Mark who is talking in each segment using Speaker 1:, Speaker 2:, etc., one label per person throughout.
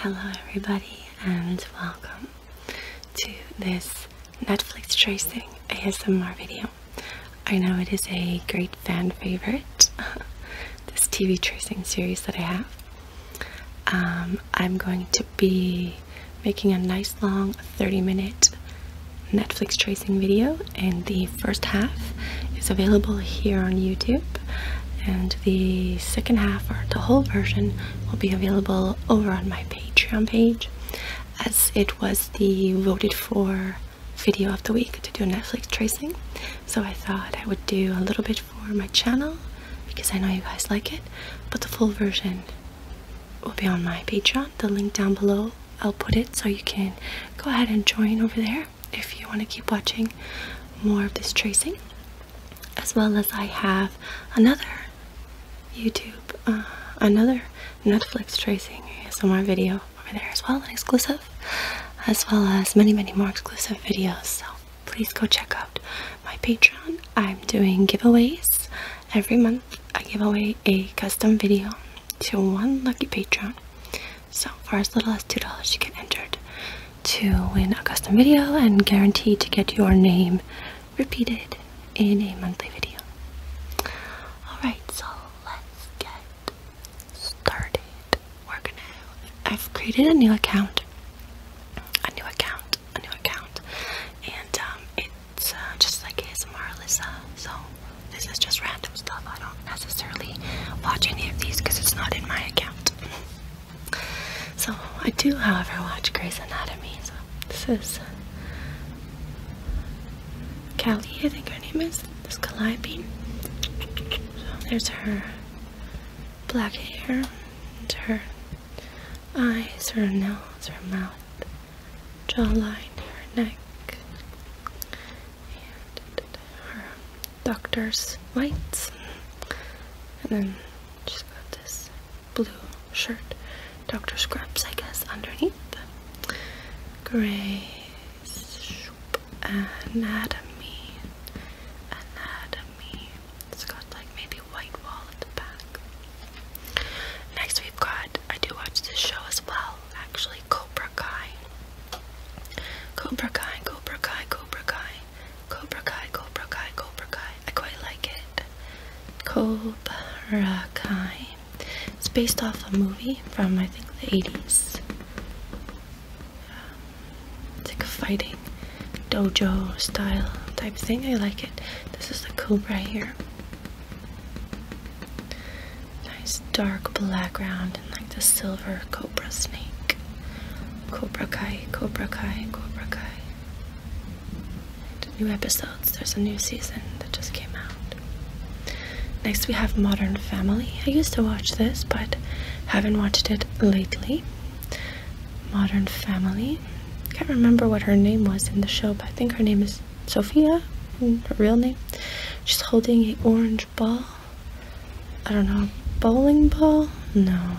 Speaker 1: Hello, everybody, and welcome to this Netflix tracing ASMR video. I know it is a great fan favorite, this TV tracing series that I have. Um, I'm going to be making a nice long 30 minute Netflix tracing video and the first half is available here on YouTube and the second half or the whole version will be available over on my Patreon page as it was the voted for video of the week to do a Netflix tracing so I thought I would do a little bit for my channel because I know you guys like it but the full version will be on my Patreon the link down below I'll put it so you can go ahead and join over there if you want to keep watching more of this tracing as well as I have another YouTube uh, another Netflix tracing ASMR video over there as well an exclusive as well as many many more exclusive videos so please go check out my Patreon I'm doing giveaways every month I give away a custom video to one lucky patron. So, for as little as $2, you can enter to win a custom video and guaranteed to get your name repeated in a monthly video. Alright, so let's get started. We're gonna, I've created a new account, a new account, a new account, and um, it's just like ASMR Alyssa. So this is just random stuff. I don't necessarily watch any of these because it's not in my account. so I do, however, watch Grey's Anatomy. So this is Callie, I think her name is. This Calliope. So there's her black hair, and her eyes, her nose, her mouth jawline, her neck, and her doctor's whites. And then she's got this blue shirt, Dr. scrubs, I guess, underneath. Gray, anatomy. Anatomy. It's got like maybe white wall at the back. Next, we've got. I do watch this show as well, actually. Cobra Kai. Cobra Kai, Cobra Kai, Cobra Kai, Cobra Kai, Cobra Kai, Cobra Kai. I quite like it. Cobra Kai. It's based off a movie from I think the 80s. Um, it's like a fighting dojo style type thing. I like it. This is the Cobra here. Nice dark background and like the silver cobra snake. Cobra Kai, Cobra Kai, Cobra Kai. new episodes. There's a new season that just came out. Next we have Modern Family. I used to watch this but haven't watched it lately. Modern Family. can't remember what her name was in the show, but I think her name is Sophia, her real name. She's holding an orange ball. I don't know, bowling ball? No.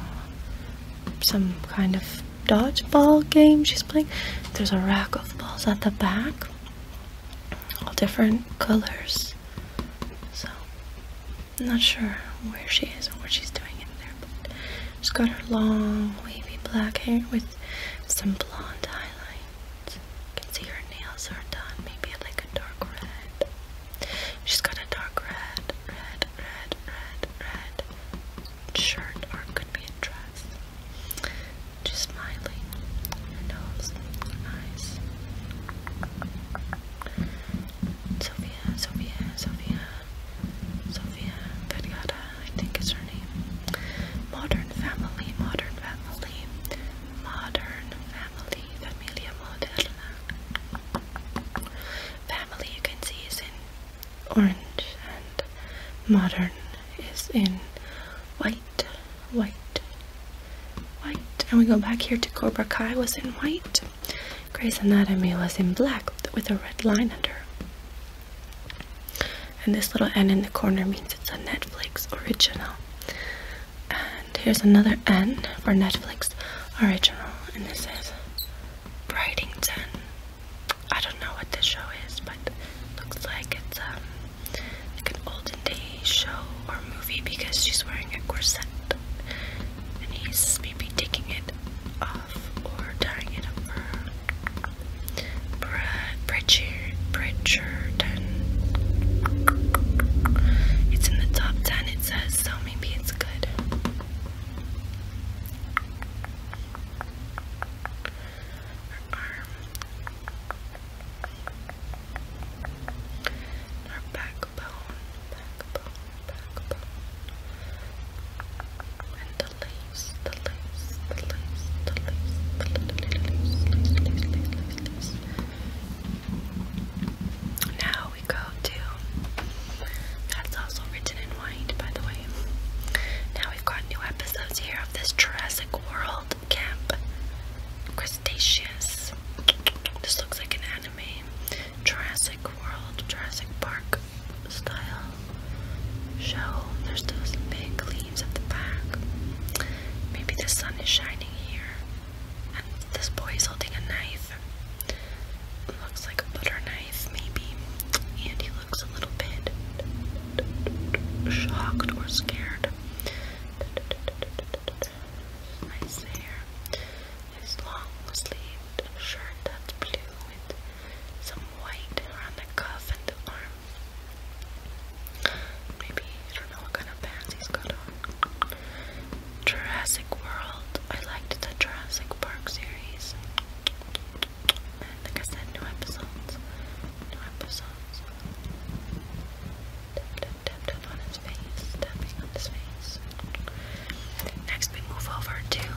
Speaker 1: Some kind of dodgeball game she's playing. There's a rack of balls at the back. All different colors. So, I'm not sure where she is or what she's doing in there. But she's got her long, wavy black hair with some blonde highlight. You can see her nails are done, maybe like a dark red. She's got a dark red, red, red, red, red shirt, or it could be a dress. Just smiling. Her nose, her eyes. Sophia, Sophia, Sophia, Sophia Vergara, I think is her name. Modern Family, Modern Family modern family, familia moderna. Family you can see is in orange and modern is in white, white, white. And we go back here to Cobra Kai was in white. Grey's Anatomy was in black with a red line under and this little N in the corner means it's a Netflix original. And here's another N for Netflix original, and this is Brightington. I don't know what this show is, but it looks like it's um, like an olden day show or movie because she's wearing a corset and he's maybe taking it off or tying it up. Bridger, Bridgerton. It's in the top 10, it says, so maybe it's good. Her arm. Her backbone, backbone, backbone. And the lace, now we go to that's also written in white, by the way. Now we've got new episodes here of this Jurassic World Camp Crustaceous. This looks like an anime. Jurassic World, Jurassic Park style show. There's those big leaves at the back. Maybe the sun is shining here, and this boy is holding a knife. looks like a butter knife, maybe, and he looks a little bit shocked or scared. Nice hair, his long sleeved shirt that's blue with some white around the cuff and the arm Maybe, I don't know what kind of pants he's got on. Jurassic World. I liked the Jurassic Park series. like I said, new episodes. New episodes. Tap, on his face. Tapping on his face. Next, we move over to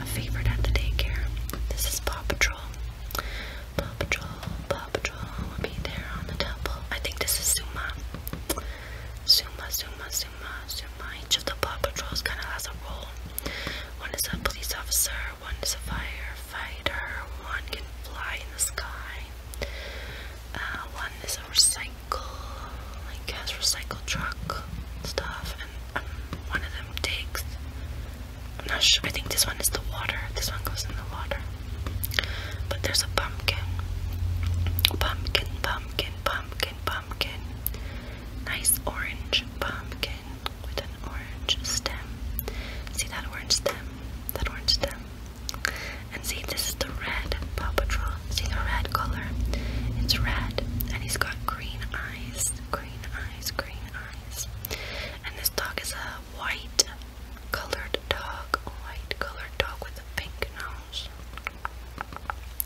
Speaker 1: a favorite at the daycare. This is Paw Patrol. Paw Patrol, Paw Patrol will be there on the temple. I think this is Zuma. Zuma, Zuma, Zuma, Each of the Paw Patrols kind of has a role. One is a police officer, one is a firefighter, one can fly in the sky, uh, one is a recycle, like has recycle truck stuff, and um, one of them takes I'm not sure. I think this one is the water. This one goes in the water. But there's a pumpkin. Pumpkin, pumpkin, pumpkin, pumpkin. Nice orange pumpkin with an orange stem. See that orange stem? That orange stem. And see, this is the red Papa Patrol. See the red color? It's red. And he's got green eyes. Green eyes, green eyes. And this dog is a white colored dog, white colored dog with a pink nose.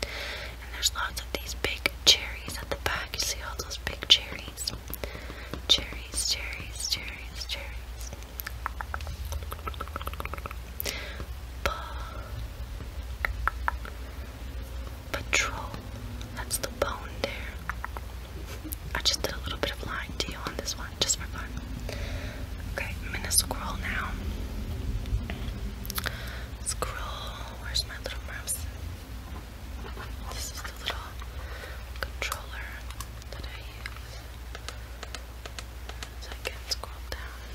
Speaker 1: And there's lots of these big cherries at the back. You see all those big cherries? Cherries, cherries, cherries, cherries. Patrol. That's the bone there. I just did a little bit of line you on this one just for fun. Okay, I'm gonna scroll now. Scroll. Where's my little mouse? This is the little controller that I use. So I can scroll down.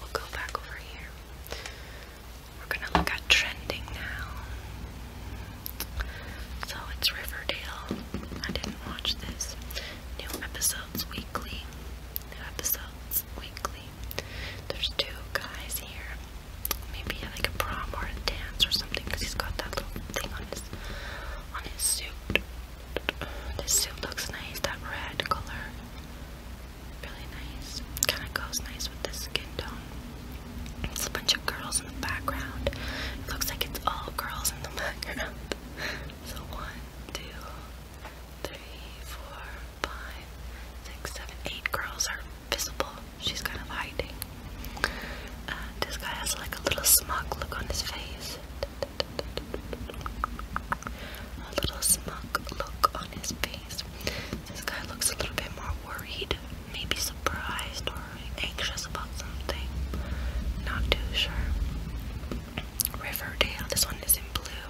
Speaker 1: We'll go back over here. We're gonna look at trending now. So it's Riverdale. I didn't watch this. New episodes weekly. New episodes weekly. There's two guys here. Maybe like a prom or a dance or something because he's got that little thing on his on his suit. This suit looks nice. That red color, really nice. Kind of goes nice with the skin tone. It's a bunch of girls in the background. It looks like it's all girls in the background. So one, two, three, four, five, six, seven, eight girls are visible. She's kind of hiding. this guy has like a little smug look on his face. A little smug look on his face. This guy looks a little bit more worried worried, maybe surprised or anxious about something. Not too sure. Riverdale, this one is in blue.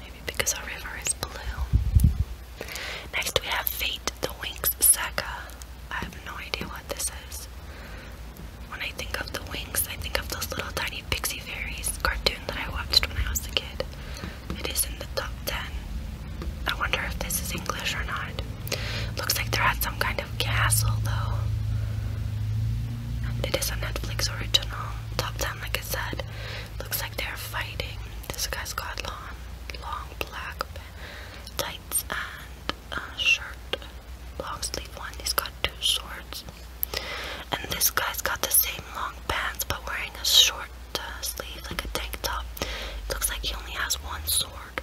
Speaker 1: Maybe because our river is blue. Next we have Fate the Wings Saga. I have no idea what this is. When I think of the wings, I think of those little tiny pixie fairies cartoon that I watched when I was a kid. It is in the top 10 I wonder if this is English or not. Looks like they're at some kind of castle, though. It is a Netflix original. Top 10, like I said. Looks like they're fighting. This guy's got long, long black pants and a shirt. Long sleeve one. He's got two swords. And this guy's got the same long pants, but wearing a short uh, sleeve, like a tank top. Looks like he only has one sword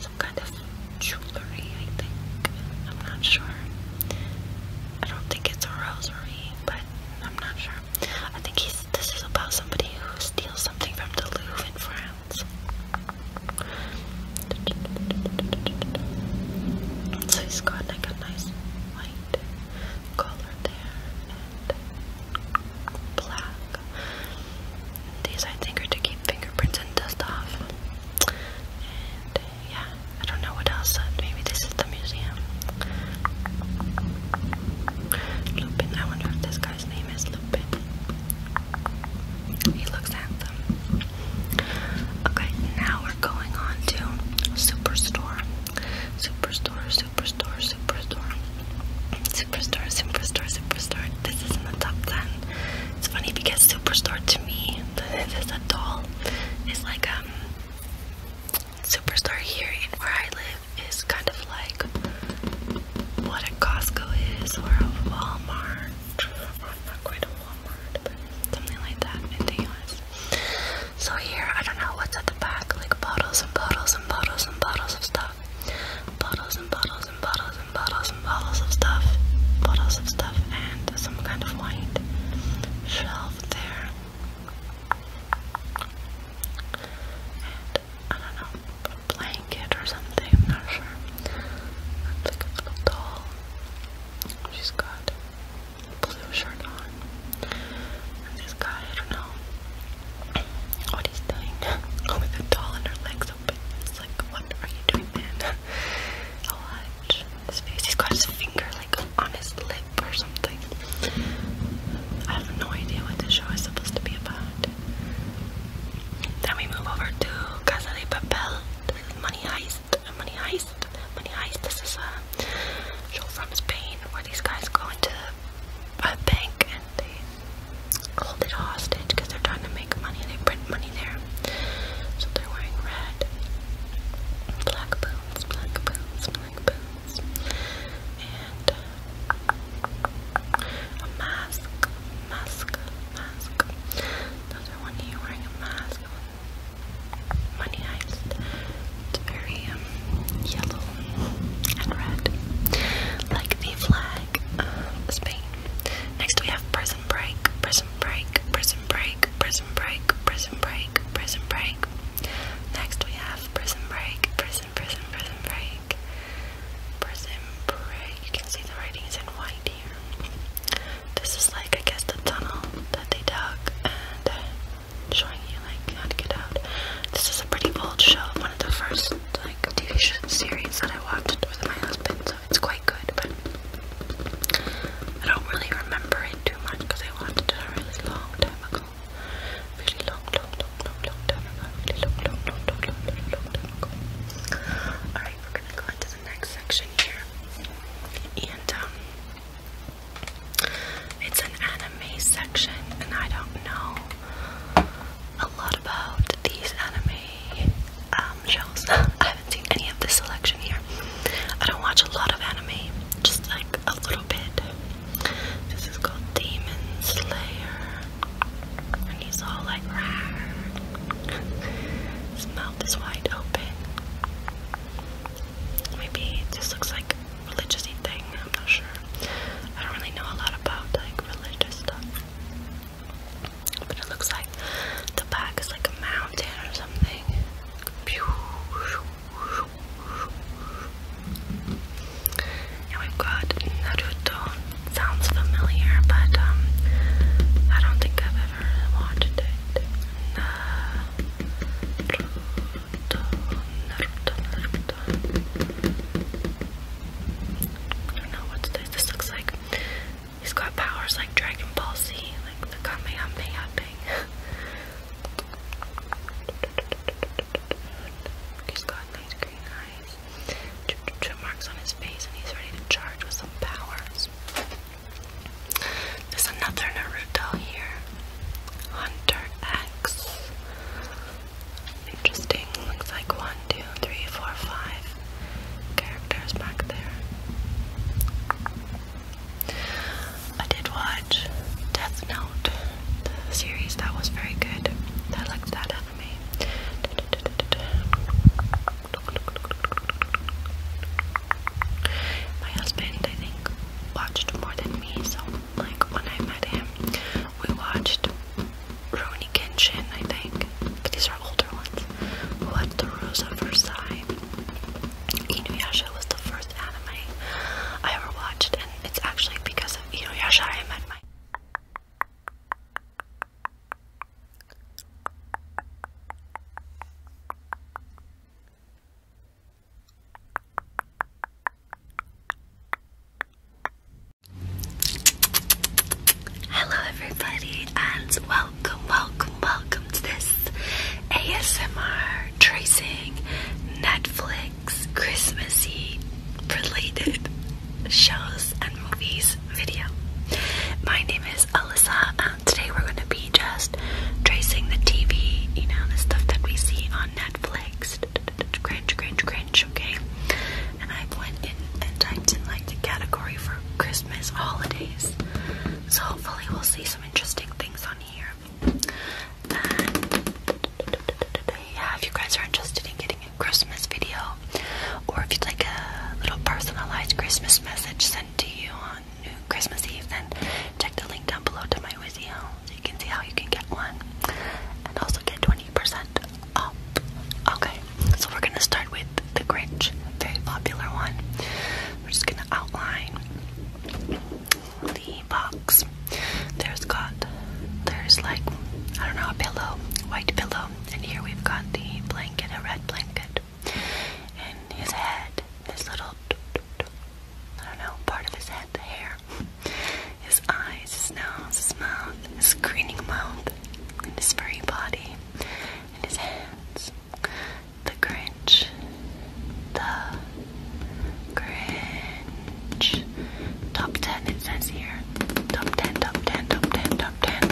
Speaker 1: some kind of jewelry, I think. I'm not sure. I don't think it's a rosary, but I'm not sure. I think he's, this is about somebody who steals something from the Louvre in France. So he's got like a nice white color there and black. These I think are to keep fingerprints and dust off. And yeah, I don't know what else. Maybe this is the museum. Lupin. I wonder if this guy's name is Lupin. He looks handsome. Okay, now we're going on to Superstore. Superstore, Superstore, Superstore. Superstore, Superstore, Superstore. This is in the top 10. It's funny because superstore to me, it's a doll it's like a um, superstore here in where I live is kind of like what a Costco is or a Walmart. Or not quite a Walmart, but something like that in the US. So here I don't know what's at the back, like bottles and bottles and bottles and bottles of stuff. Bottles and bottles and bottles bottles bottles of stuff, bottles of stuff, and some kind of white shelf there. And I don't know, blanket or something, I'm not sure. Like a little doll. She's got blue shirt on. this guy, I don't know what he's doing. oh, with doll in her legs. It's like, what are you doing, man? I'll watch his face. He's got his finger like on his lip or something. I have no idea what this show is supposed to be about. Then we move over to Casa de Papel. This is Money Heist. Money Heist. Money Heist. This is a show from Spain where these guys go into a bank and they hold it hostage because they're trying to make money. They print money there. So they're wearing red. Black boots, black boots, black boots. And uh, a mask, mask, mask. Those are one here wearing a mask. Money heist. It's very um, yellow and red. Like the flag uh, Spain. Next we have Prison Break, Prison Break, Prison Break, Prison Break, Prison Break, Prison Break. Next we have Prison Break, Prison, Prison, Prison Break, Prison Break. You can see the writing is in white here. This is like I guess the tunnel that they dug and uh, showing you like how to get out. This is a pretty old show, one of the first like TV show series that I watched with my husband it's quite good, but I don't really remember it too much because I watched it a really long time ago. Really long, long, long, long, long long, long, long, long, long, long, time ago. Alright, we're gonna go into the next section here. And, um, it's an anime section, and I don't know a lot about these anime um, shows. I haven't seen any of this selection here. I don't watch a lot of anime, just like a little bit. This is called Demon Slayer. And he's all like, Rawr. his mouth is wide open. Maybe this looks like a religious thing, I'm not sure. I don't really know a lot about like religious stuff. But it looks like the back is like a mountain or something. And we've got Naruto. Sounds familiar, but um, I don't think I've ever watched it. Naruto, Naruto, Naruto. I don't know what's This looks like He's got powers like Dragon Ball Z, like the Kamehameha thing. he's got nice green eyes, chip marks on his face, and he's ready to charge with some powers. There's another Naruto here, Hunter X. Interesting. Looks like one, two, three, four, five, characters back there. I did watch Death Note, the series that was very good. I liked that anime. My husband, I think, watched more than me, so like when I met him, we watched Rurouni Kenshin, I think. But these are older ones. Who the Rose of Versailles. Inuyasha was the first anime I ever watched, and it's actually because of Inuyasha I met my. Hello, everybody, and welcome, welcome, welcome to this ASMR tracing Netflix Christmassy related shows and movies video. My name is Alyssa, and today we're going to be just tracing the TV, you know, the stuff that we see on Netflix. Cringe, cringe, cringe, okay? And I went in and typed in like the category for Christmas holidays. So hopefully we'll see some interesting things on here. yeah, if you guys are interested in getting a Christmas video, or if you'd like a little personalized Christmas message sent to you on New Christmas Eve, then check the link down below to my Wizio so you can see how you can get one and also get 20% Okay, so we're gonna start with the Grinch, very popular one. We're just gonna outline the box. There's got, there's like, I don't know, a pillow, white pillow, and here we've got the blanket, a red blanket, and his head, his little, I don't know, part of his head, the hair, his eyes, his nose, his mouth, his grinning mouth, and his furry body, in his hands. The Grinch, the Grinch. Top 10 it says here. Top 10, top 10, top 10, top 10.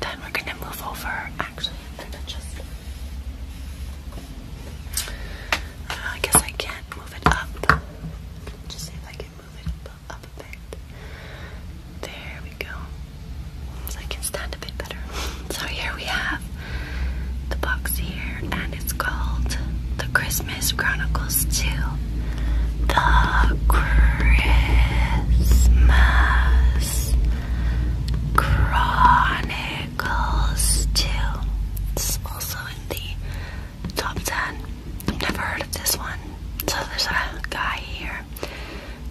Speaker 1: Then we're gonna move over. Actually, uh, i guess I can't move it up. Just see if I can move it up up a bit. There we go. So I can stand a bit better. So here we have the box here, and it's called The Christmas Chronicles 2. The Christmas Chronicles 2. It's also in the top 10. I've never heard of this one. So there's a guy here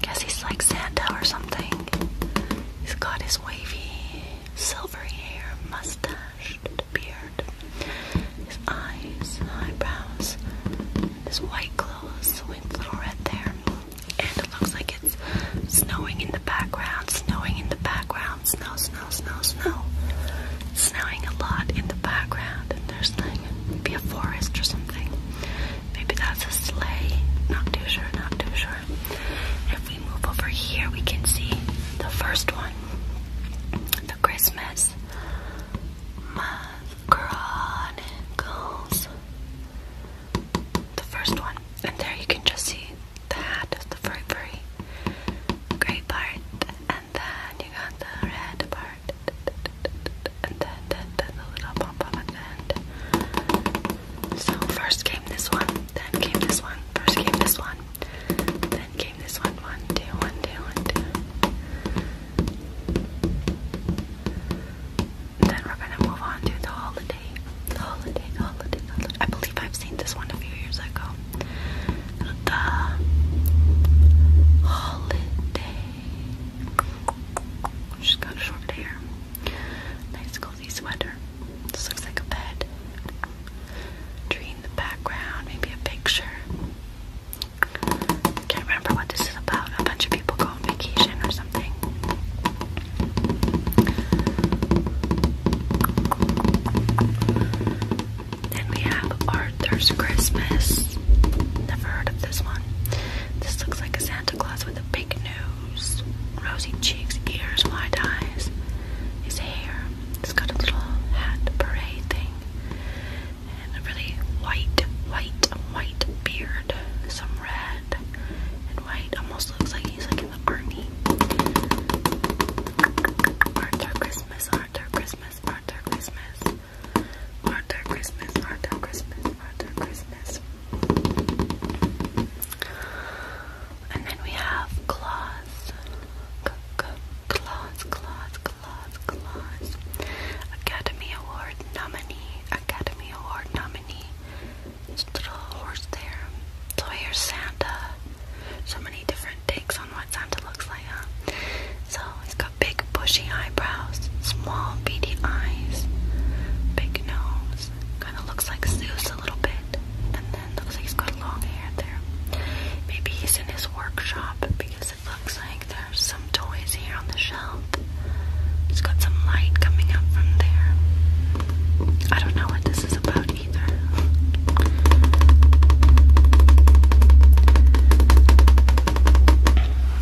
Speaker 1: Guess he's like Santa or something. He's got his wavy, silvery hair, mustache, beard, his eyes, eyebrows, his white clothes with little red there. And it looks like it's snowing in the background, snowing in the background, snow, snow, snow, snow. It's snowing a lot in the background, and there's like, maybe a forest or something. Maybe that's a sleigh. Not too sure, not too sure. If we move over here, we can see the first one. The Christmas Chronicles. The first one. And there you can just see the hat of the furry furry gray part. And then you got the red part and then, then, then the little pop up at the end. So first came this one, then came this one, first came this one, then came this one, one, two, one, two, one, two. Then we're gonna move on to the holiday. The holiday, the holiday, the holiday. I believe I've seen this one a few years ago. The holiday. She's got short hair. Nice cozy sweater. This looks like a bed. Tree in the background, maybe a picture. Can't remember what this is about. A bunch of people go vacation or something. Then we have Arthur's Christmas. Never heard of this one. This looks like a Santa Claus with a big nose, rosy cheeks, ears, wide eyes. His hair. He's got a little hat parade thing. And a really white, white, white beard. Some red and white. Almost looks like he's like in the army. Arthur Christmas, Arthur Christmas, Arthur Christmas. Arthur Christmas, Arthur Christmas, Arthur Christmas. And then we have Claus. Claus, Claus, Claus, Claus. Academy Award nominee, Academy Award nominee. This little horse there. So here's Santa. So many different takes on what Santa looks like, So he big bushy eyebrows, small beady eyes, big nose. Kind of looks like Zeus a little bit, and then looks like he's got long hair there. Maybe he's in his workshop because it looks like there's some toys here on the shelf. It's got some light coming up from there. I don't know what this is about either.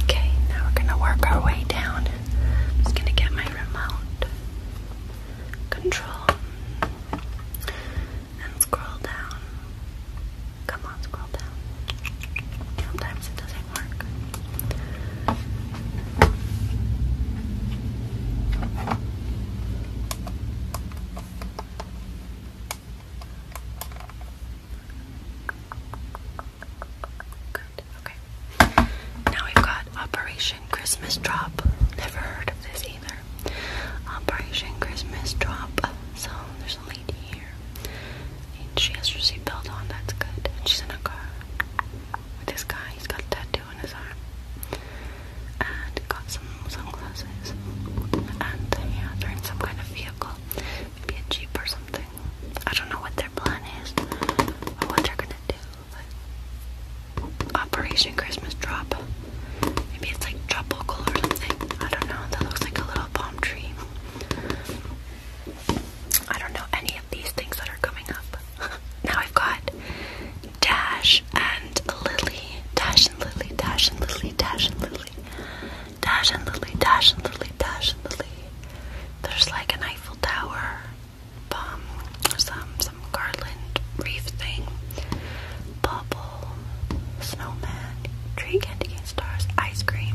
Speaker 1: Okay, we're gonna work our way down. just gonna get my remote control and scroll down. Come on, scroll down. Sometimes it doesn't work. Good, okay. Now we've got Operation Christmas Drop. Never heard of this either. Operation Christmas Drop. So there's a lady here. And she has her seatbelt on, that's good. And she's in a car with this guy. He's got a tattoo on his arm. And got some sunglasses. And yeah, they're in some kind of vehicle get cheap or something. I don't know what their plan is or what they're gonna do. Operation Christmas Drop. Maybe it's like tropical or something. I don't know. That looks like a little palm tree. I don't know any of these things that are coming up. now I've got Dash and Lily. Dash and Lily, Dash and Lily, Dash and Lily. Dash and Lily, Dash and Lily, Dash and Lily. There's like an Eiffel Tower, um, some some garland reef thing, bubble, snowman, tree candy cane stars, ice cream,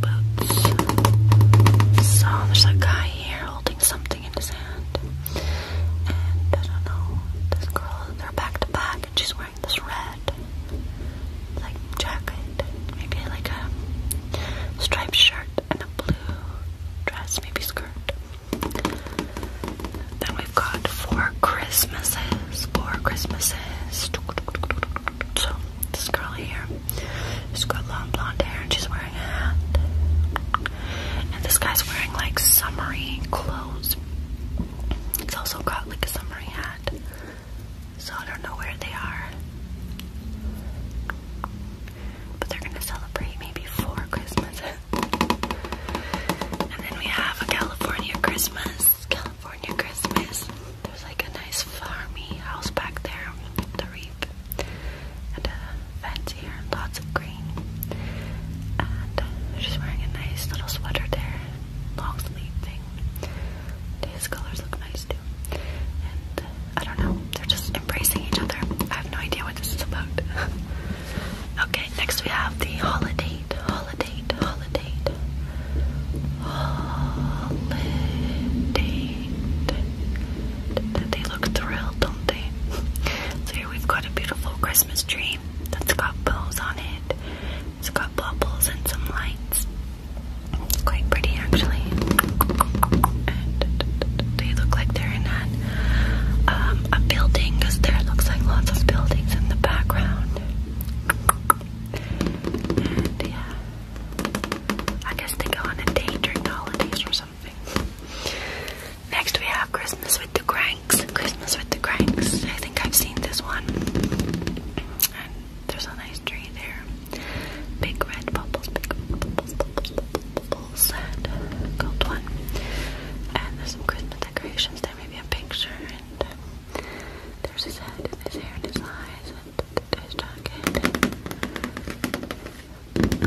Speaker 1: boots. So there's a guy here holding something in his hand, and I don't know. This girl, they're back to back, and she's wearing this red like jacket, maybe like a striped shirt and a blue dress, maybe skirt. Then we've got four Christmases, four Christmases. So this girl here, she's got long blonde hair and she's wearing a hat. And this guy's wearing like summery clothes. He's also got like a summery hat. So I don't know where they are. But they're gonna celebrate me before Christmas. and then we have a California Christmas. California Christmas. There's like a nice farmy house back there, the reap, and a fence here, lots of green. And she's wearing a nice little sweater there long sleeve thing. His colors look nice too. And uh, I don't know, they're just embracing each other. I have no idea what this is about. okay, next we have the holiday, holiday, holiday, holiday. They look thrilled, don't they? So here we've got a beautiful Christmas tree that's got bows on it. It's got bubbles and some lights. It's quite pretty actually. And they look like they're in um, a building there looks like lots of buildings in the background. yeah, I guess they go on a date during or something. Next we have Christmas with the Cranks. Christmas with the Cranks. I think I've seen this one. There's a nice tree there. Big red bubbles, big bubbles, bubbles, bubbles, and gold one. And there's some Christmas decorations there, maybe a picture, and um, there's his head, and his hair, and his eyes, and his jacket.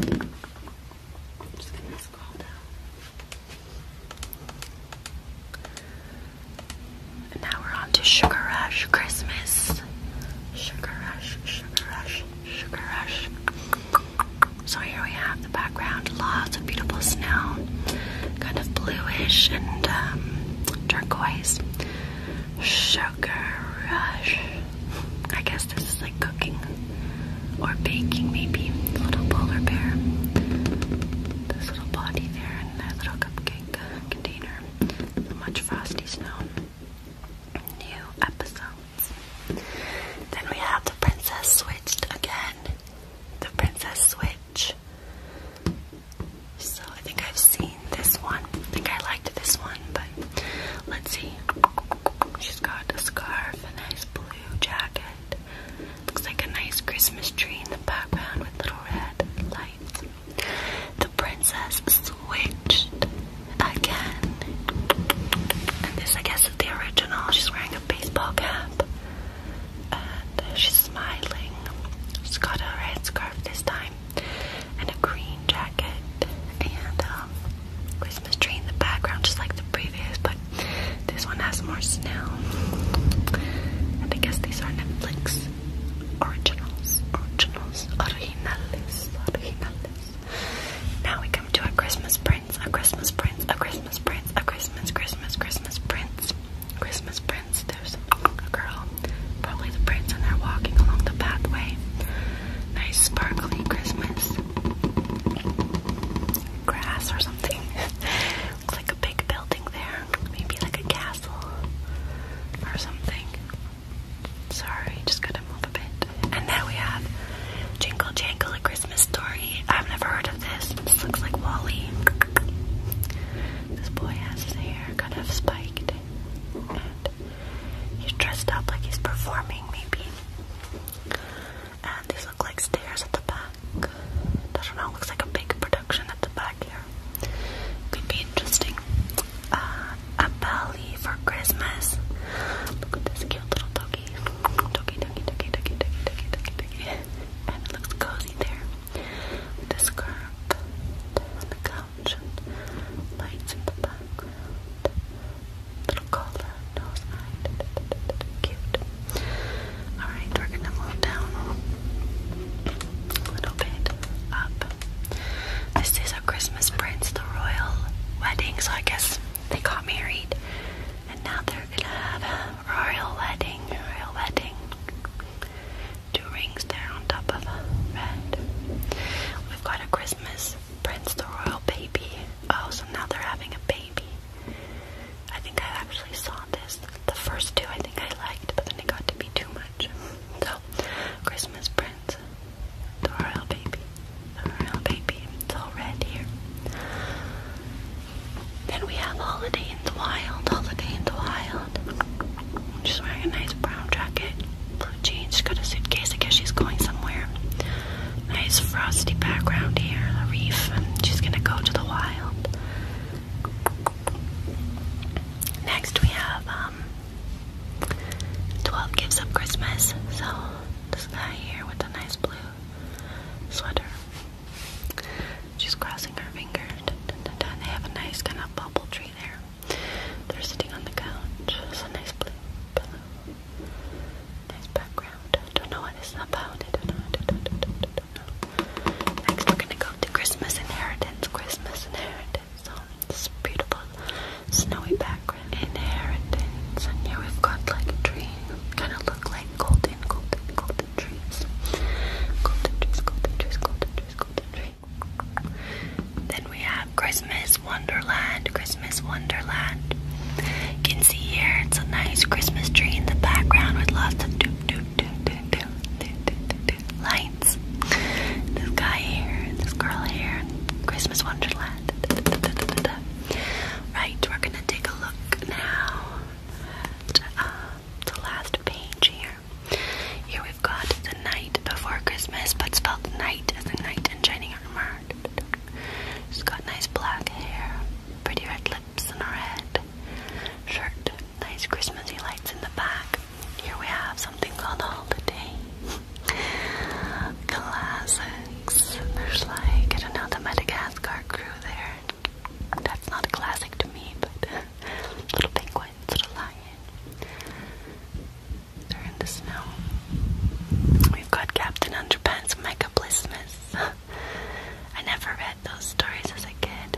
Speaker 1: I'm just gonna scroll down. And now we're on to Sugar Rush Christmas. Sugar Rush, Sugar Rush, Sugar Rush. So here we have the background, lots of beautiful snow, kind of bluish and um, turquoise. Sugar Rush. I guess this is like cooking or baking, maybe. little polar bear, this little body there, and that little cupcake container much Frosty Snow new episodes. Then we have the Princess Switched again. The Princess Switch. So I think I've seen this one. I think I liked this one, but let's see. She's got a scarf, a nice blue jacket. Looks like a nice Christmas tree in the background with little red lights. The princess switched again. this, I guess, is the original. She's wearing a baseball cap. And she's smiling. She's got a red scarf this time. And a green jacket. And Christmas tree in the background, just like the previous. But this one has more snow. And I guess these are Netflix Originals, originals, originales, originales. Now we come to a Christmas prince, a Christmas prince, a Christmas prince, a Christmas, Christmas, Christmas prince, Christmas prince. There's a girl, probably the prince, and they're walking along the pathway. Nice sparkly Christmas grass or something. Looks like a big building there. Maybe like a castle or something. Sorry, just gotta move a bit. And there we have Jingle Jangle, a Christmas story. I've never heard of this. This looks like Wally. This boy has his hair kind of spiked. And he's dressed up like he's performing, maybe. And these look like stairs at the back. I don't know, looks like a big production at the back here. Could be interesting. Uh, a belly for Christmas. Look at this cute little doggy. Doggy, doggy, doggy, doggy, doggy, doggy, doggy, doggy. And it looks cozy there. With the on the couch. lights in the background. Little collar, nose, eye. Cute. Alright, we're gonna move down a little bit up. This is a Christmas Prince, the royal wedding, so I guess they got married and now they're gonna have a royal wedding, royal wedding. Two rings there on top of red. We've got a Christmas Prince, the royal baby. Oh, so now they're having a baby. I think I actually saw this. The first two I think I liked, but then it got to be too much. So Christmas Prince, the royal baby, royal baby, it's all red here. Then we have Holiday in the Wild, Holiday in the Wild. She's wearing a nice brown jacket, blue jeans, she's got a suitcase, I guess she's going somewhere. Nice frosty background here, a reef, and she's gonna go to the wild. Next we have um, 12 gives up Christmas. So, this guy here with a nice blue sweater. She's crossing her fingers. They have a nice kind of bubble tree there. They're sitting on the couch. It's a nice blue pillow. Nice background. Don't know what it's about. I don't know. I don't know. Next, we're gonna go to Christmas Inheritance. Christmas Inheritance. So this beautiful snowy background. Inheritance. And here we've got like a Kinda look like golden, golden, golden trees. Golden trees, golden trees, golden trees, Then we have Christmas Wonderland. Christmas Wonderland. You can see here it's a nice Christmas tree in the background with lots of lights. this guy here, this girl here, Christmas Wonderland. Right, we're gonna take a look now at um, the last page here. Here we've got the night before Christmas, but spelled night as a knight in shining armor. She's got nice black hair, pretty red lips and a red shirt, nice Christmassy lights in the back. Here we have something called all the day Classics. There's like, I don't know, the Madagascar crew there. That's not a classic to me, but little penguins, little lion. They're in the snow. We've got Captain Underpants Mega Blismas. I never read those stories as a kid,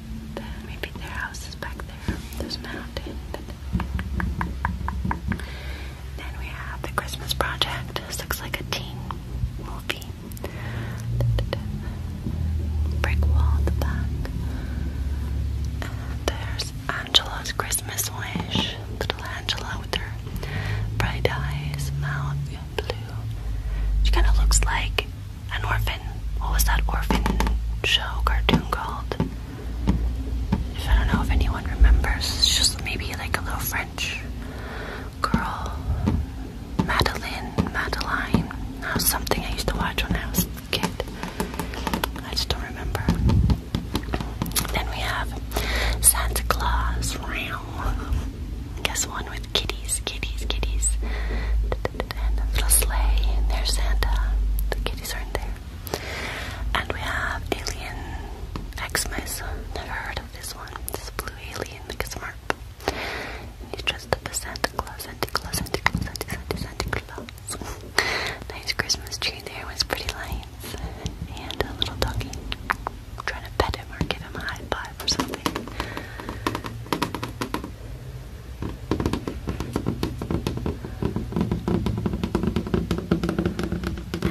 Speaker 1: Maybe their house is back there. There's a mountain. Then we have the Christmas Project. This looks like a teen movie. Brick wall there's Angela's Christmas Wish. Little Angela with her bright eyes, mouth blue. She kind of looks like an orphan. What was that orphan show cartoon called? If I don't know if anyone remembers, it's just maybe like a little French girl, Madeleine, Madeleine. That uh, was something I used to watch when I was a kid. I just don't remember. Then we have Santa Claus. Guess one with kitties, kitties, kitties. And a little sleigh, and there's Santa. The kitties aren't there. And we have Alien Xmas. Never heard of this one. This blue alien, like a smart. And he's dressed up as Santa Claus, Santa Claus, Santa Claus, Santa, Santa, Santa Claus. nice Christmas tree there with pretty lights. And a little doggy. I'm trying to pet him or give him a high five or something. And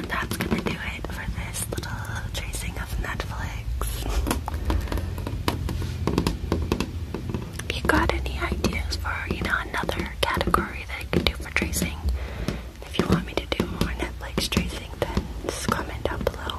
Speaker 1: that's gonna do it for this little tracing of Netflix. you got any ideas for, you know, another category that I could do for tracing, if you want me to do more Netflix tracing, then comment down below.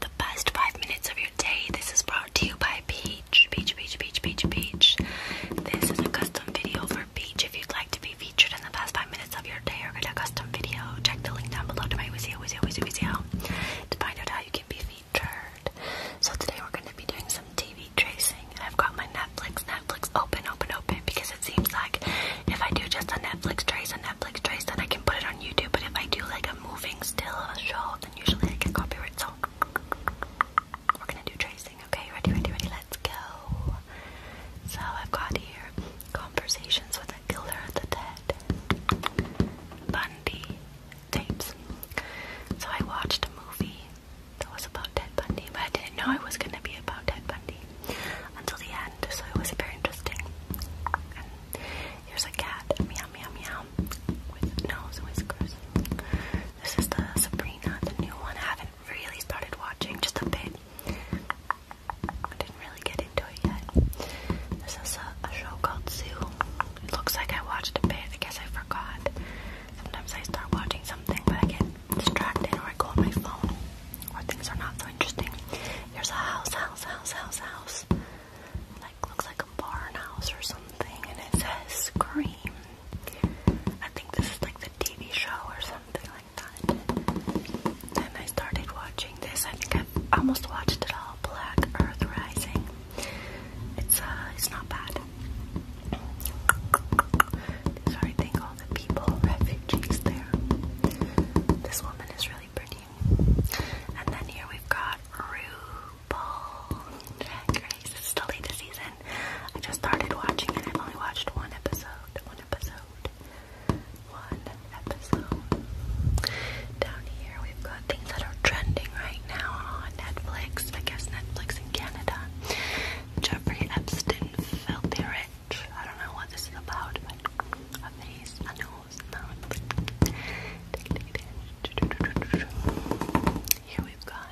Speaker 1: The best five minutes of your day. This is brought to you by Peach. Peach, Peach, Peach, Peach, Peach. This is a custom video for Peach. If you'd like to be featured in the past five minutes of your day or get a custom video, check the link down below to my Wizio, Wizio, Wizio, Wizio to find out how you can be featured. So today we're going to be doing some TV tracing. I've got my Netflix, Netflix open, open, open because it seems like if I do just a Netflix trace, a Netflix trace, then I can put it on YouTube. But if I do like a moving still of a short, and usually I get copyright. So we're gonna do tracing. Okay, ready, ready, ready. Let's go. So I've got here conversations with the killer of the dead, Bundy tapes. So I watched a movie that was about Ted Bundy, but I didn't know it was gonna be about Ted Bundy until the end. So it was very interesting. Here's a cat, meow meow meow, with nose whiskers. This is the Sabrina, the new one. I haven't really started watching, just a bit. I didn't really get into it yet. This is a, a show called Zoo. It looks like I watched a bit. I guess I forgot. Sometimes I start watching something, but I get distracted or I go on my phone, or things are not so interesting. Here's a house, house, house, house, house like looks like a barn house or something, and it says Scream. I think this is like the TV show or something like that. And I started watching this. I think i almost watched it all. Black Earth Rising. It's uh, it's not bad. These I think, all the people, refugees there. This woman is really pretty. And then here we've got RuPaul Drag It's the latest season. I just started watching it. I've only watched one episode. One episode. One episode. Down here we've got things that are trending right now on Netflix. I guess Netflix in Canada. Jeffrey Epstein filthy rich. I don't know what this is about, but a face, here we've got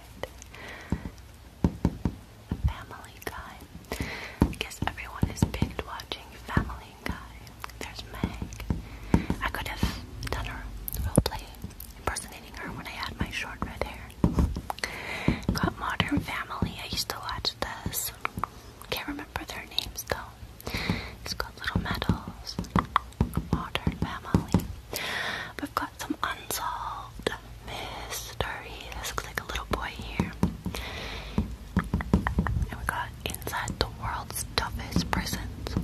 Speaker 1: Family Guy. I guess everyone is picked watching Family Guy. There's Meg. I could have done her roleplay impersonating her when I had my short red hair. Got Modern Family. I used to watch this. Can't remember their names though. It's got little medals, modern family. We've got some unsolved mysteries. This looks like a little boy here. And we got inside the world's toughest prisons.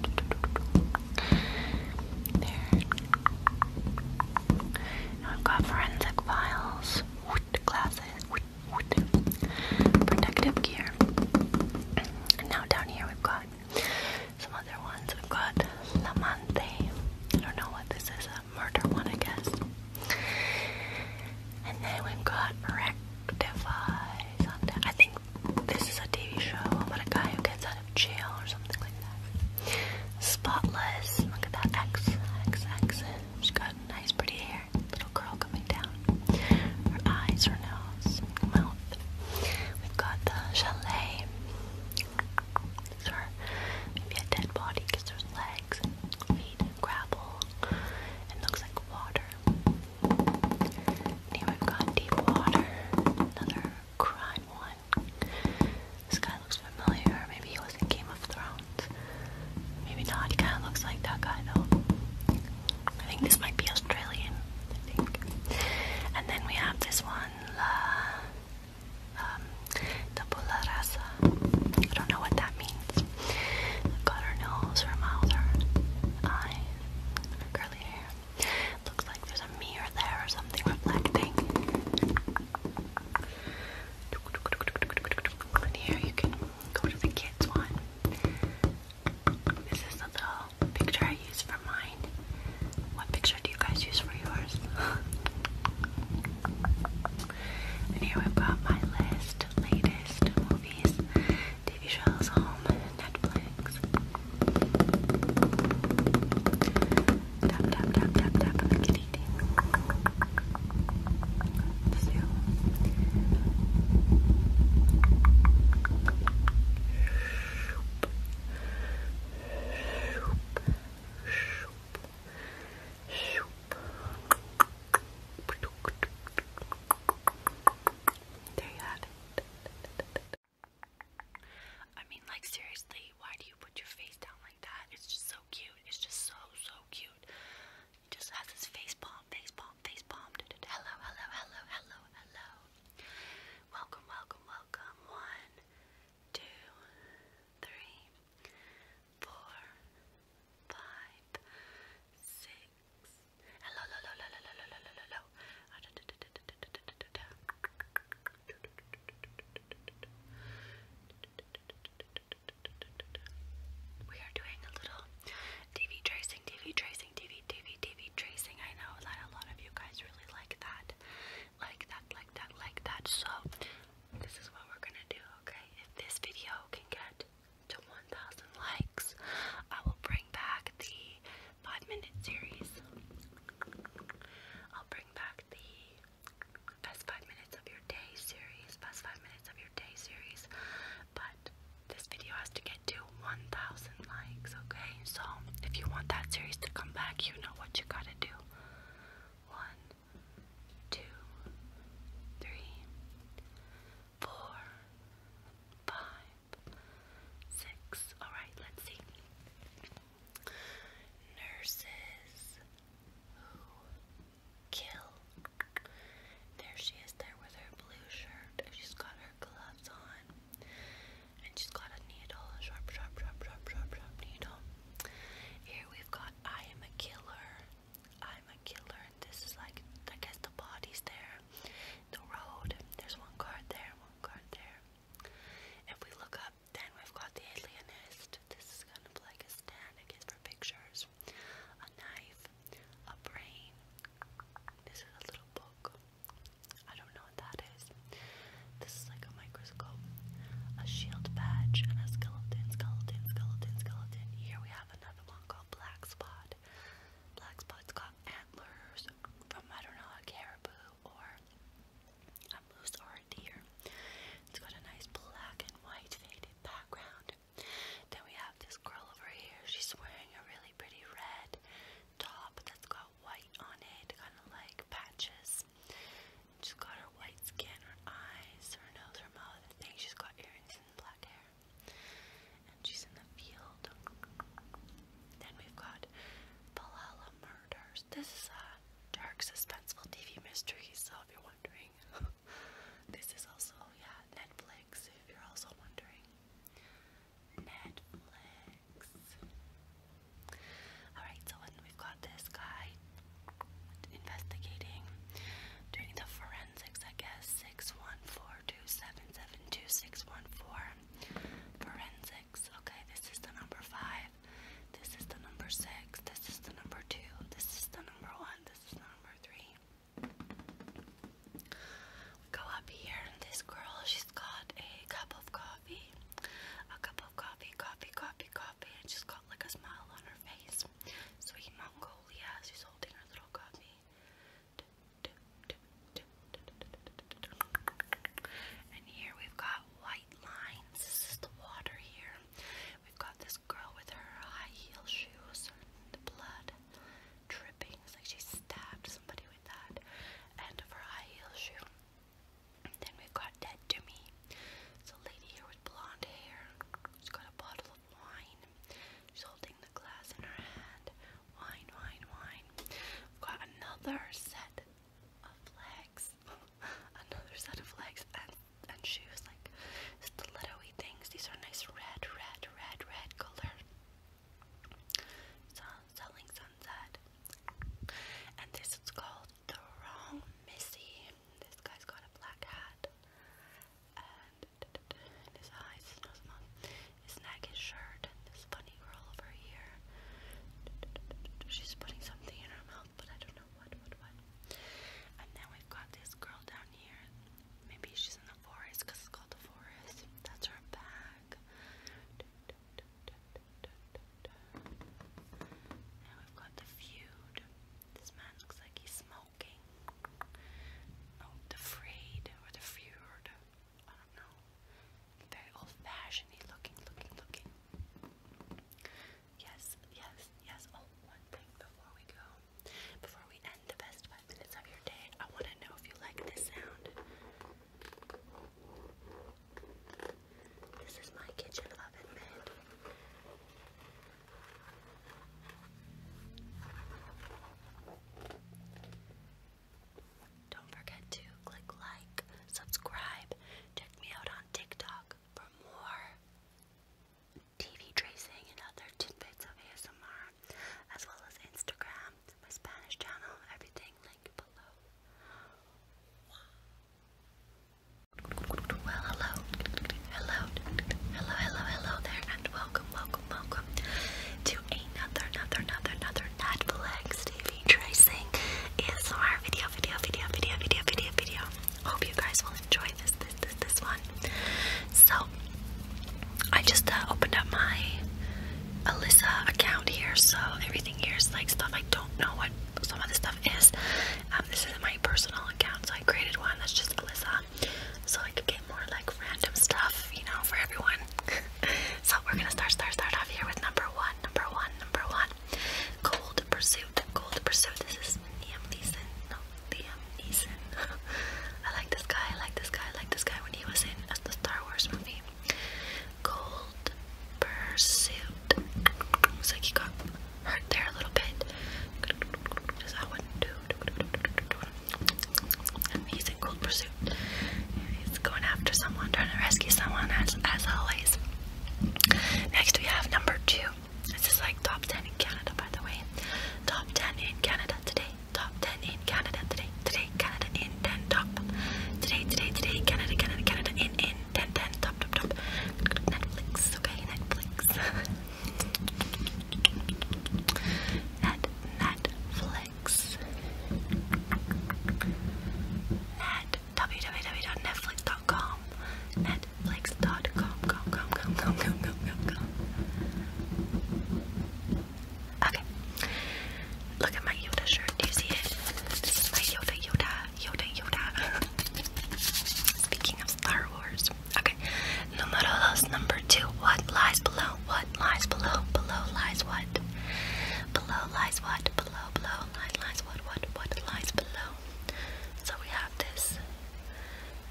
Speaker 1: There. we've got forensic files, classes, protective gear. And now down here we've got some other ones. We've got La Lamante. I don't know what this is, a murder one I guess. And then we've got Rectifies on that. I think this is a TV show about a guy who gets out of jail or something like that. Spotless. Look at that X, X, X. She's got nice pretty hair little curl coming down. Her eyes, her nose, mouth. We've got the chalet. It's her maybe a dead body because there's legs feet gravel. It looks like water. here we've got deep water. Another crime one. This guy looks familiar. Maybe he was in Game of Thrones. Maybe not. He kind of looks like that guy though. I think this might be Australian. I think. And then we have this one, La um, Tabula Rasa. I don't know what that means. Got her nose, her mouth, her eye, her curly hair. Looks like there's a mirror there or something reflecting. here you can go to the kids one. This is the little picture I use for mine. What picture do you guys use for yours? and here we've got my list, latest movies, TV shows, home, Netflix. Tap, tap, tap, tap, tap there you have it. I mean, like, seriously, why do you put your face down like that? It's just so cute. It's just so, so cute. He just has his face bomb, face bomb, face bomb. Hello, hello, hello, hello, hello. Welcome, welcome, welcome. One, two, three, four, five, six. Hello, hello, hello, hello, hello, hello, hello. We are doing a little TV tracing, TV tracing, TV, TV, TV tracing. I know that a lot of you guys really like that, like that, like that, like that. So this is what we're gonna do, okay? If this video can get to 1,000 likes, I will bring back the five-minute series. I'll bring back the best five minutes of your day series, best five minutes of your day series. But this video has to get to 1,000 likes, okay? So if you want that series to come back, you know what you gotta do. One, two, three, four, five, six. Alright, let's see. Nurses who kill there she is there with her blue shirt. And she's got her gloves on. And she's got a needle, a sharp, sharp, sharp, sharp, sharp, sharp needle. Here we've got I am a killer. I'm a killer. And this is like I guess the body's there. The road. There's one card there, one card there. If we look up, then we've got the alienist. This is kind of like a stand, I guess, for pictures scissors, a knife, a brain. This is a little book. I don't know what that is. This is like a microscope, a shield badge, and a skeleton, skeleton, skeleton, skeleton. Here we have another one called Black Spot. Black Spot's got antlers from, I don't know, a caribou or a moose or a deer. It's got a nice black and white faded background. Then we have this girl over here. She's wearing a really pretty red top that's got white on it, kind of like patches. She's got her white skin, her eyes, her nose, her mouth. I think she's got earrings and black hair. And she's in the field. Then we've got Valhalla Murders. This is a dark, suspenseful TV mystery, so if you're wondering, this is also, yeah, Netflix, if you're also wondering. Netflix. Alright, so when we've got this guy investigating, doing the forensics, I guess, six one four two seven seven two six one four. Forensics. Okay, this is the number five. This is the number six. This is the number two. This is the number one. This is the number three go up here and this girl, she's got a cup of coffee. A cup of coffee, coffee, coffee, coffee, and she's got like a smile on her face. Sweet Mongolia, she's holding her little coffee. And here we've got white lines. the water here. We've got this girl with her high heel shoes, the blood drippings, like she stabbed somebody with that, and of her high heel shoe. Then we've got Dead to Me. It's a lady here with blonde hair. She's got a bottle of wine. She's holding the glass in her hand. Wine, wine, wine. We've got another set of legs. another set of legs and and shoes like stiletto-y things. These are nice red, red, red, red color. Sun Selling Sunset. And this is called The Wrong Missy. This guy's got a black hat. And his eyes, his nose, his neck, his shirt, and this funny girl over here. She's putting something in her mouth, but I don't know what, what, what. And then we've got this girl down here. Maybe she's in the forest because it's called the forest. That's her bag. Now we've got the feud. This man looks like he's smoking. Oh, the frayed or the feud. I don't know. Very old fashioned -y looking, looking, looking. Yes, yes, yes. Oh, one thing before we go. Before we end the best five minutes of your day, I want to know if you like this sound. This is my kitchen oven mitt. Don't forget to click like, subscribe, check me out on TikTok for more TV tracing and other tidbits of ASMR as well as Instagram, my Spanish channel, everything linked below. Well, hello, hello, hello, hello, hello there, and welcome, welcome, welcome to another, another, another, another Netflix TV tracing ASMR video, video, video, video, video, video, video. Hope you guys will enjoy this, this, this, this one. So I just uh, opened up my Alyssa account here, so everything here is like stuff I don't know what some of the stuff is. Um, this isn't my personal account, so I created one that's just Alyssa, so I could get more like random stuff, you know, for everyone. so we're gonna start, start, start off here with number one, number one, number one. Cold Pursuit, Cold Pursuit. This is Liam Neeson. Liam Neeson. I like this guy, I like this guy, I like this guy when he was in as the Star Wars movie. Gold Pursuit. Looks like he got hurt there a little bit. Just that one, And he's in Gold Pursuit. He's going after someone, trying to rescue someone, as, as always. Next we have number two. This is like top 10 in Canada, by the way. Top 10 in Canada today top 10 in Canada today. Today, Canada in top. Today, Canada, Canada, Canada in in 10 top top top. Netflix, okay, Netflix. Net Netflix. Net www.netflix.com. Netflix.com. come, come, come, come, come, come, come. Okay. Look at my Yoda shirt. Do you see it? This is my Yoda, Yoda, Yoda, Yoda. Speaking of Star Wars. Okay. Numero number two. What lies below? What lies below? Below lies what? Below lies what? Below, below, lies, what? What, what lies below? So we have this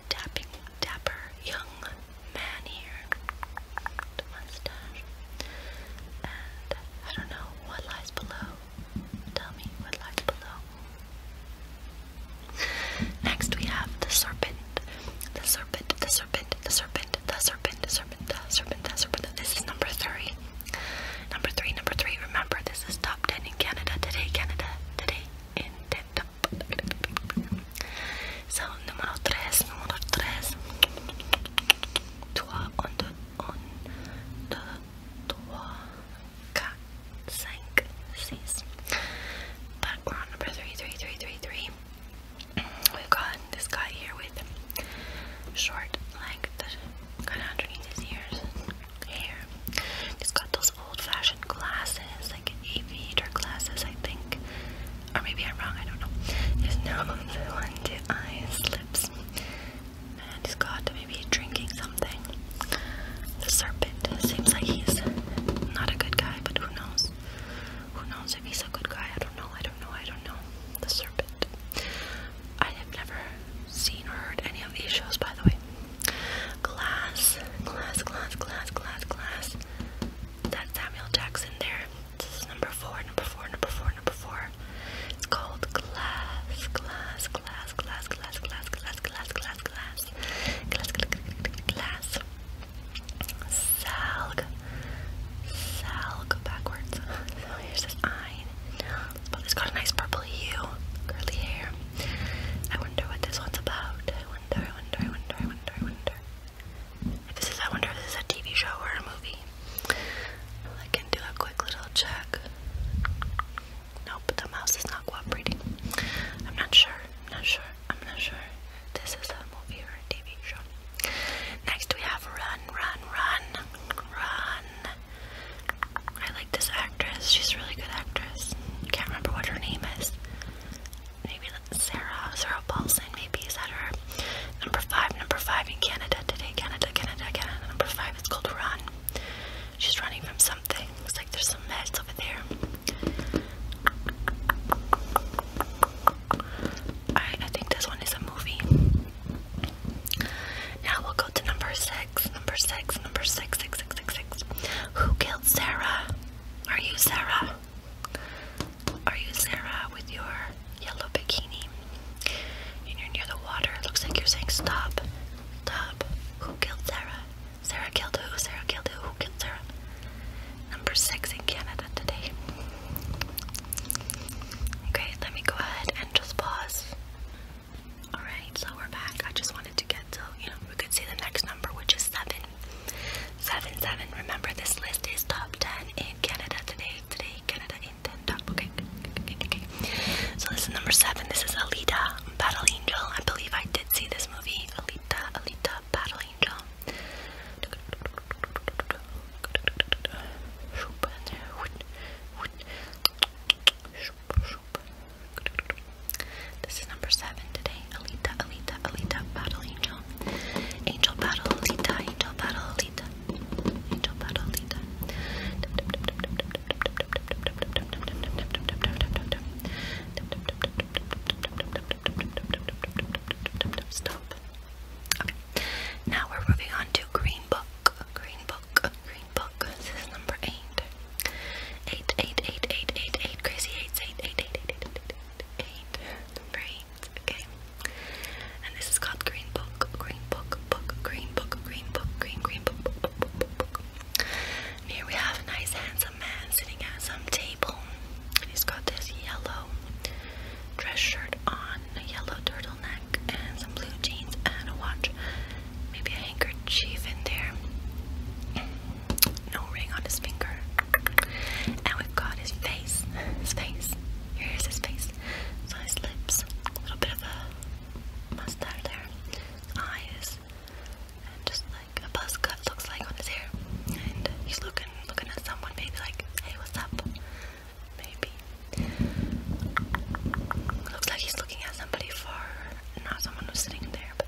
Speaker 1: tapping, dapper, young man here, the mustache, and I don't know what lies below. Tell me what lies below. Next we have the serpent, the serpent, the serpent, the serpent, the serpent, the serpent, the serpent, the serpent. This is number three. Number three, number three. Remember, this is top ten in Canada today. Canada today in ten so, number 3, number 3. Trois, un, number three, three, three, three, three. We've got this guy here with short length, kind of underneath his ears, hair. He's got those old-fashioned glasses like aviator classes, I think. Or maybe I'm wrong, I don't know. There's no villain eyes, lips. Man, he's maybe drinking something. The serpent seems like he's not a good guy, but who knows? Who knows if he's a good guy? I don't know, I don't know, I don't know. The serpent. I have never seen or heard any of these shows, by the way. Glass, glass, glass, glass, glass, glass that Samuel Jackson there. This is number four, number four, number four, number four. It's called Glass, Glass, Glass, Glass, Glass, Glass, Glass, Glass, Glass, Glass, Glass, Glass, Salg, Salg, backwards. So here's this eye. But it's got a nice purple hue, curly hair. I wonder what this one's about. I wonder, I wonder, I wonder, I wonder, I wonder. This is, I wonder if this is a TV show or a movie. I can do a quick little check. Nope, the mouse is not cooperating. I'm not sure. I'm not sure. I'm not sure. This is a movie or a TV show. Next we have Run, Run, Run, Run. I like this actress. She's a really good actress. Can't remember what her name is maybe Sarah, Sarah Paulson, maybe is that her? Number five, number five in Canada today, Canada, Canada, Canada. Number five It's called Run. She's running from something. Looks like there's some mess over there. I think this one is a movie. Now we'll go to number six, number six, number six, six, six, six, six. Who killed Sarah? Are you Sarah? Are you Sarah with your yellow bikini? And you're near the water. It looks like you're saying stop. Stop. Who killed Sarah? Sarah killed who? Sarah killed who? Who killed Sarah? Number six in Canada today. Okay, let me go ahead and just pause. Alright, so we're back. I just wanted to get so you know we could see the next number, which is seven, seven, seven. Remember, this list is top 10 in Canada today. Today, Canada in 10 top. okay, okay. So, this is number seven. This is Alita, Battle Angel. I believe I did see this movie. Alita, Alita, Battle Angel. This is number seven today. Alita, Alita, Alita, Battle Angel. Angel Battle Alita, Angel Battle Alita. Angel Battle Alita. Stop. Now we're moving on to Green Book. Green Book. Green Book. This is number eight. Eight, eight, eight, eight, eight, eight. Crazy eight, eight, eight, eight, eight. Number eight. Okay. And this is called Green Book. Green Book. Book. Green Book. Green Book. Green Green Book. book, book, book, book, book. And here we have a nice handsome man sitting at some table. He's got this yellow dress shirt on, a yellow turtleneck, and some blue jeans and a watch. Maybe a handkerchief in there no ring on his finger. And we've got his face. His face. Here's his face. So his lips. A little bit of a mustache there. eyes. And just like a buzz cut looks like on his hair. And he's looking looking at someone maybe like, hey what's up? Maybe. Looks like he's looking at somebody far, not someone who's sitting there, but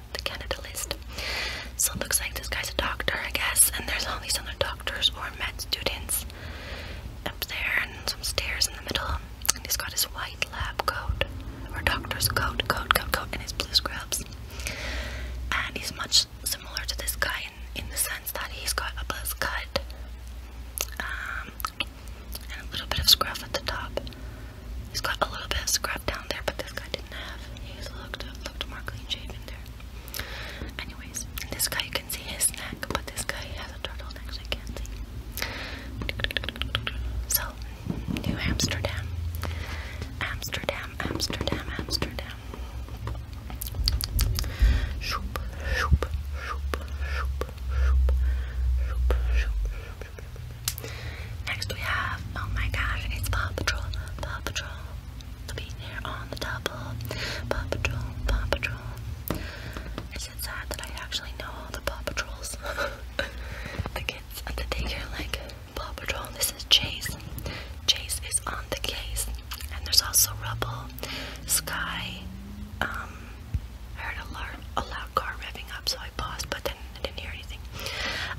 Speaker 1: the Canada list. So it looks like this guy's a doctor, I guess, and there's all these other doctors or med students up there and some stairs in the middle. And he's got his white lab coat, or doctor's coat, coat, coat, coat, and his blue scrubs. And he's much similar to this guy in, the sense that he's got a buzz cut um, and a little bit of scruff at the top. He's got a little bit of scruff down there, but this guy didn't have. He's looked looked more clean shaven there. Anyways, this guy you can see his neck, but this guy has a turtleneck, so can't see. So, New Amsterdam, Amsterdam, Amsterdam, Amsterdam. Shoop, shoop, shoop, shoop, shoop, shoop, shoop, shoop, Next we have, oh my gosh, it's Paw Patrol, Paw Patrol. To be there on the double, Paw Patrol, Paw Patrol. Is it sad that I actually know all the Paw Patrols? the kids at the daycare like Paw Patrol. This is Chase. Chase is on the case, and there's also Rubble, Sky. Um, heard a loud, a loud car revving up, so I paused. But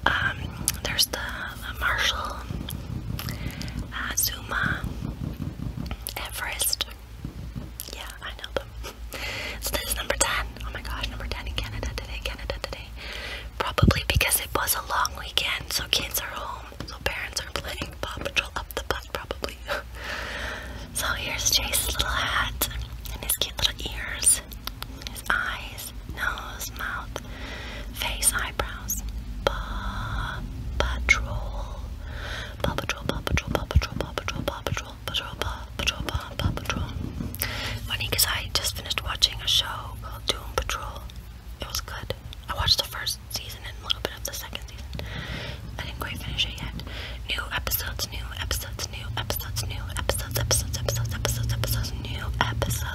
Speaker 1: um, there's the, Marshall, uh, Zuma, Everest. Yeah, I know them. so this is number 10. Oh my gosh, number 10 in Canada today, Canada today. Probably because it was a long weekend, so kids are home, so parents are playing Paw Patrol up the butt, probably. so here's Chase's little hat and his cute little ears lips, his eyes, nose, mouth, face, eyebrows. Paw Patrol. Paw Patrol, Paw Patrol, Paw Patrol, Paw Patrol, Paw Patrol, Patrol, Paw Patrol, Paw Patrol. Funny because I just finished watching a show called Doom Patrol. It was good. I watched the first season and a little bit of the second season. I didn't quite finish it yet new episodes, new episodes, new episodes, new episodes, episodes, episodes, episodes, episodes, new episodes.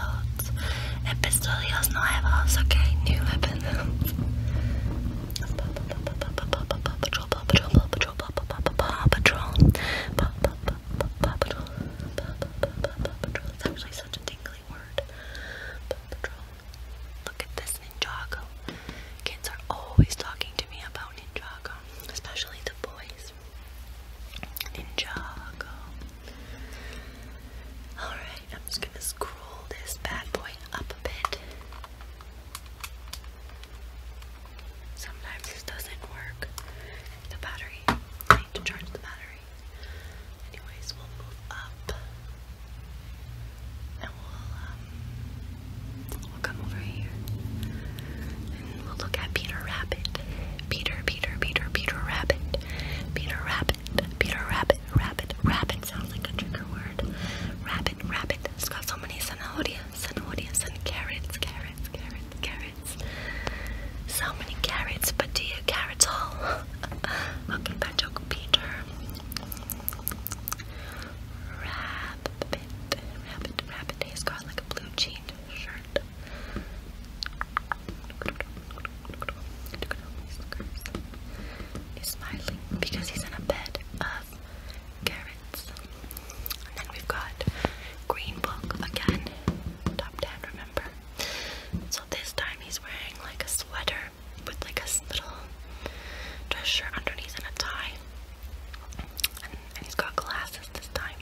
Speaker 1: Episodios nuevos, okay? New episodes. Paw Patrol, Paw Patrol, Paw Patrol, Paw Patrol, Paw Patrol, Paw Patrol, It's actually such a tingly word. Paw Patrol. Look at this Ninjago. Kids are always talking to me about Ninjago, especially the boys. Yes. Alright, I'm just gonna scroll this bad boy up a bit. Sometimes this doesn't work. The battery. need to charge the battery. Anyways, we'll move up. And we'll um We'll come over here. And we'll look at Peter Rabbit. Peter, Peter, Peter, Peter Rabbit. Peter Rabbit. Peter Rabbit. Rabbit. Rabbit sounds like a trigger word. Rabbit, rabbit. It's got so many zanahorias, zanahorias, and carrots, carrots, carrots, carrots. So many carrots, but do you carrots all? okay, bad joke, Peter. Rabbit, rabbit, rabbit. He's got like a blue jean He's smiling because he's in a bed of carrots. And then we've got Green Book again. Top 10, remember? So this time he's wearing like a sweater with like a little dress shirt underneath and a tie he's got glasses this time.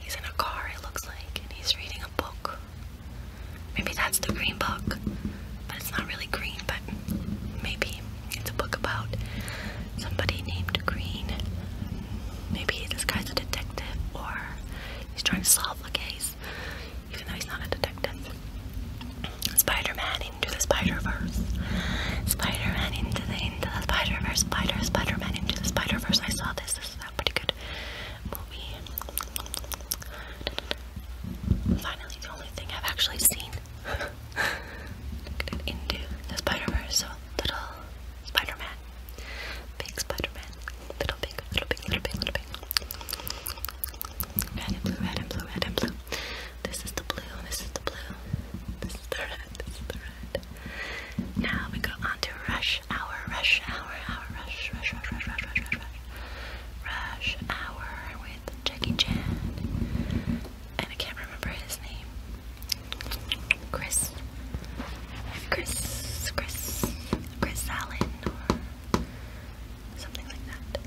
Speaker 1: He's in a car, it looks like, and he's reading a book. Maybe that's the green book, but it's not really green, but maybe it's a book about somebody named Green. Maybe this guy's a detective or he's trying to solve a case. Verse, even though he's not a detective. Spider Man into the Spider Verse, Spider Man into the into the Spider Verse, Spider Spider Man into the Spider Verse. I saw this. This is a pretty good movie. Finally, the only thing I've actually seen. into the Spider Verse, so little Spider Man, big Spider Man, little big, little big, little big, little big. Red and blue, red and blue, red and blue. This is the blue, this is the blue, this is the red, this is the red. Now we go on to rush hour, rush hour, hour, rush, rush, rush, rush, rush, rush, rush, rush. Rush hour with Jackie Chan. And I can't remember his name. Chris. Chris, Chris, Chris Allen, or something like that.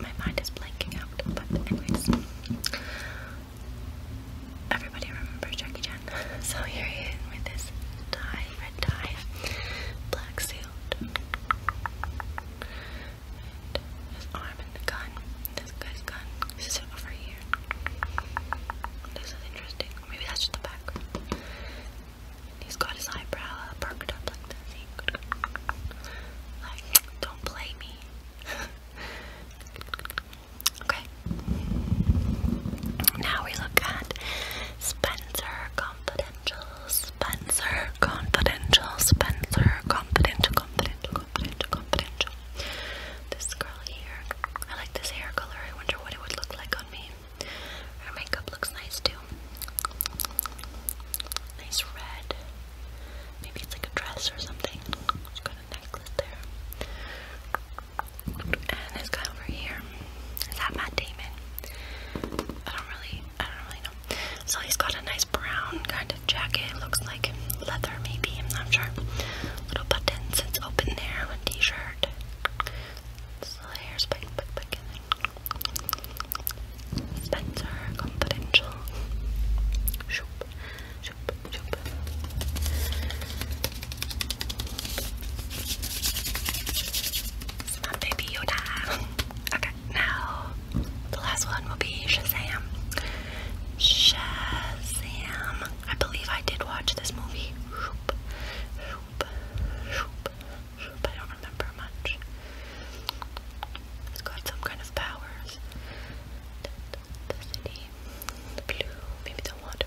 Speaker 1: My mind is blanking out, but anyways. Everybody remembers Jackie Chan. So here he is with his tie, red tie, black suit, his arm and the gun. This guy's gun. This is over here. This is interesting. Maybe that's just the background. He's got his eyebrow perked up like that. like, don't play me. okay. Now we look at Spencer Confidential. Spencer Confidential. Spencer Confidential. Confidential. Confidential. This girl here. I like this hair color. I wonder what it would look like on me. Her makeup looks nice too. Nice red. Maybe it's like a dress or something. She's got a necklace there. And this guy over here. Is that Matt Damon? I don't really I don't really know. So he's got a nice brown kind of jacket. looks like leather maybe, I'm not sure. Little buttons, it's open there, a t-shirt. So the Spencer Confidential. Shoop, shoop, shoop. Some baby Yoda. Okay, now the last one will be Shazam. Shazam. I believe I did watch this movie. I don't remember much. It's got some kind of powers. The, city, blue, maybe the water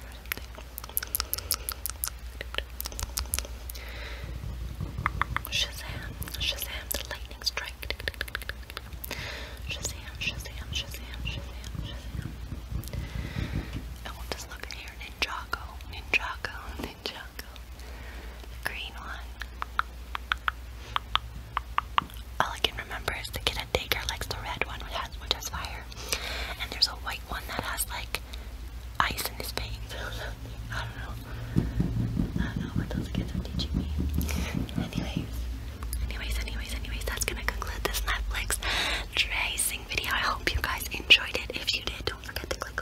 Speaker 1: Shazam, Shazam, the lightning strike. Shazam, Shazam, Shazam, Shazam, Shazam. I will just look Ninjago, Ninjago, Ninjago. green one. All I can remember is the kid at daycare likes the red one which has, which has fire. And there's a white one that has like ice in his veins. I don't know. I don't know what those kids are teaching me. Anyways. Anyways, anyways, anyways, that's gonna conclude this Netflix tracing video. I hope you guys enjoyed it. If you did, don't forget to click